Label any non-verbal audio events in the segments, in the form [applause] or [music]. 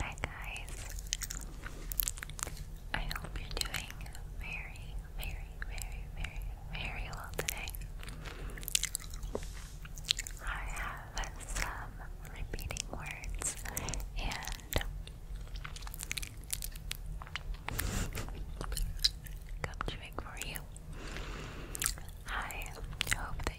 Hi guys. I hope you're doing very, very, very, very, very well today. I have some repeating words and come chewing for you. I hope that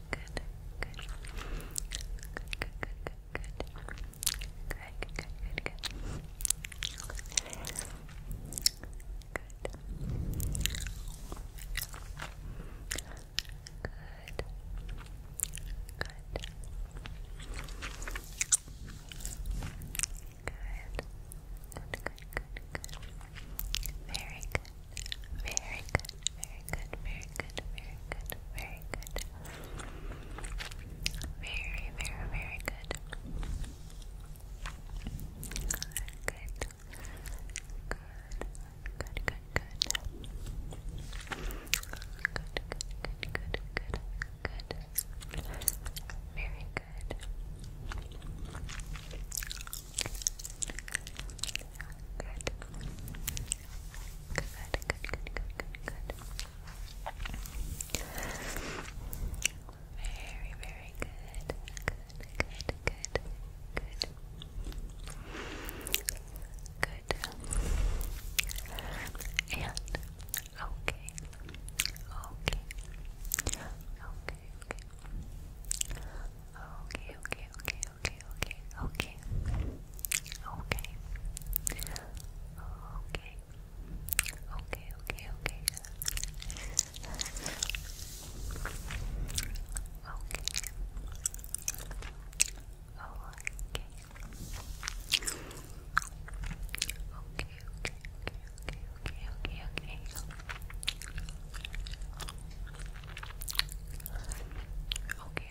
good, good, good, good, good, good. Good. Good, good, good, good. Good. Good. Good. Good. Good, Very good. Very good, very good, very good, very good, very good. Very, very, very good. Good. Good, good, good, good. Good, good, good, good, good. Very good. Good. Good, good, good, good, good, Very, very good. Good, good, good, good. Good. And okay. Okay. Okay, okay. Okay, okay, okay, okay, okay, okay, okay, okay, okay, okay, okay. Okay. Oh, okay. Okay, okay, okay, okay, okay, okay, okay. Okay,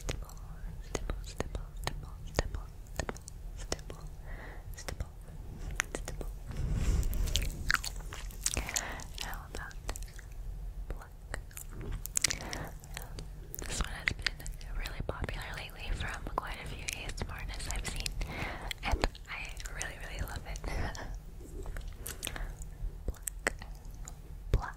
stipple, stipple, stipple, stipple, stipple, stipple, stipple, stipple, stipple. How about this one has been really popular lately from quite a few ASMRists I've seen, and I really, really love it. pluck, [laughs] pluck,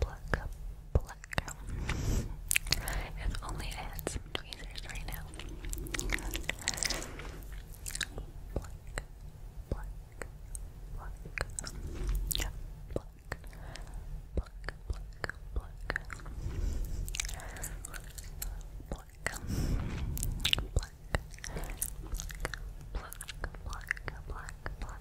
pluck, pluck. if only had some tweezers right now. Pluck, pluck, pluck, yeah, pluck, pluck, pluck, pluck, pluck. Pluck, pluck, pluck, pluck, pluck, pluck,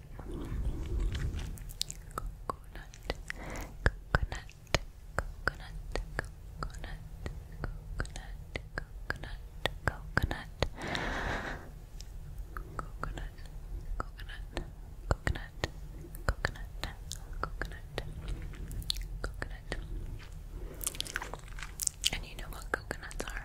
coconut, coconut, coconut, coconut, coconut, coconut, coconut, coconut, coconut, coconut, coconut, coconut. And you know what coconuts are?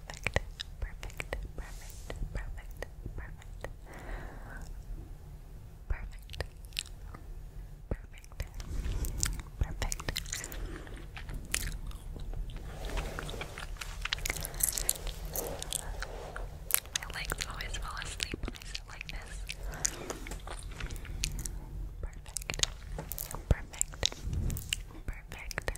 perfect, perfect, perfect, perfect, perfect, perfect, perfect, perfect. I like to always fall asleep when I sit like this. Perfect, perfect, perfect, perfect,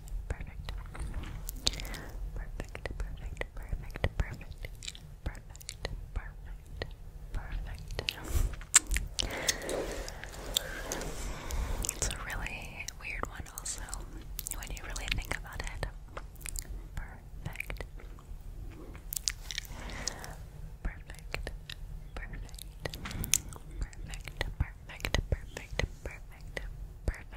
Perfect. Perfect, perfect, perfect, perfect, perfect, perfect, It's a really weird one also, when you really think about it. Perfect. Perfect. Perfect. Perfect. Perfect. Perfect. Perfect. Perfect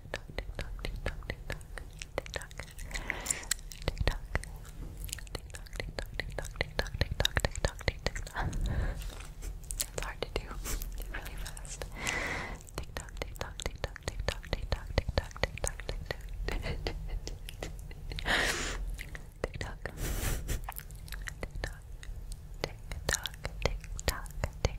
TikTok, TikTok, TikTok, TikTok, TikTok, TikTok, TikTok, TikTok, TikTok, TikTok, TikTok, TikTok. It's hard to do. It's really fast. TikTok, TikTok, TikTok, TikTok, TikTok, TikTok, TikTok, TikTok. TikTok. TikTok. TikTok. TikTok. TikTok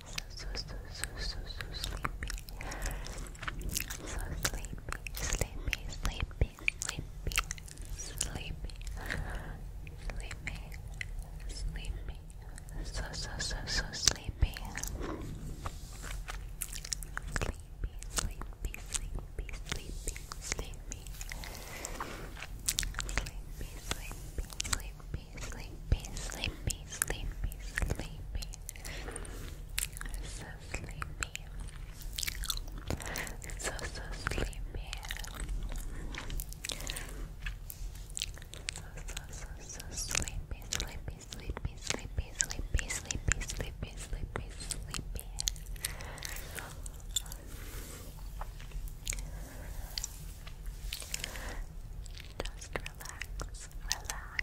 so, so, so, so, so sleepy. So sleepy, sleepy, sleepy, sleepy, sleepy, sleepy, sleepy. So, so, so, so sleepy. Sleepy, sleepy, sleepy, sleepy, sleepy. Sleepy, sleepy, sleepy sleepy, sleepy, sleepy, sleepy. So sleepy. So, so sleepy. So, so, so, so sleepy, sleepy, sleepy, sleepy, sleepy, sleepy, sleepy, sleepy, sleepy. Just relax, relax,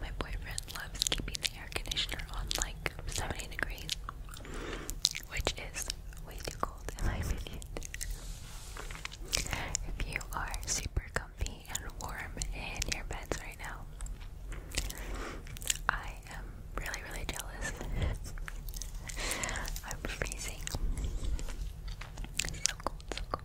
My boyfriend loves keeping the air conditioner on like 70 degrees, which is way too cold in my opinion. If you are super comfy and warm in your beds right now, I am really, really jealous. [laughs] I'm freezing. So cold, so cold.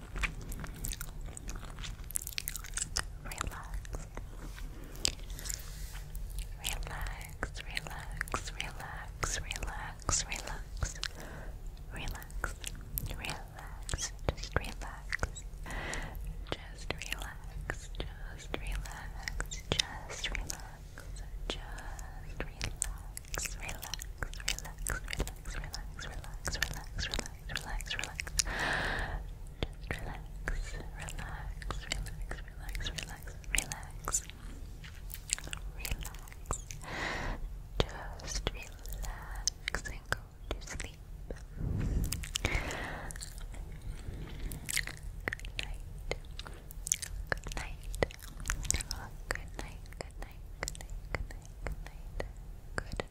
relax, relax, relax, relax, relax, relax, relax, just relax, just relax, just relax, just relax, just relax, relax, relax, relax, relax, relax, relax, relax relax, relax. Just relax, relax, relax, relax, relax, relax. Relax. Just relax and go to sleep. Good night. Good night. Good night. Good night. Good night. Good night. Good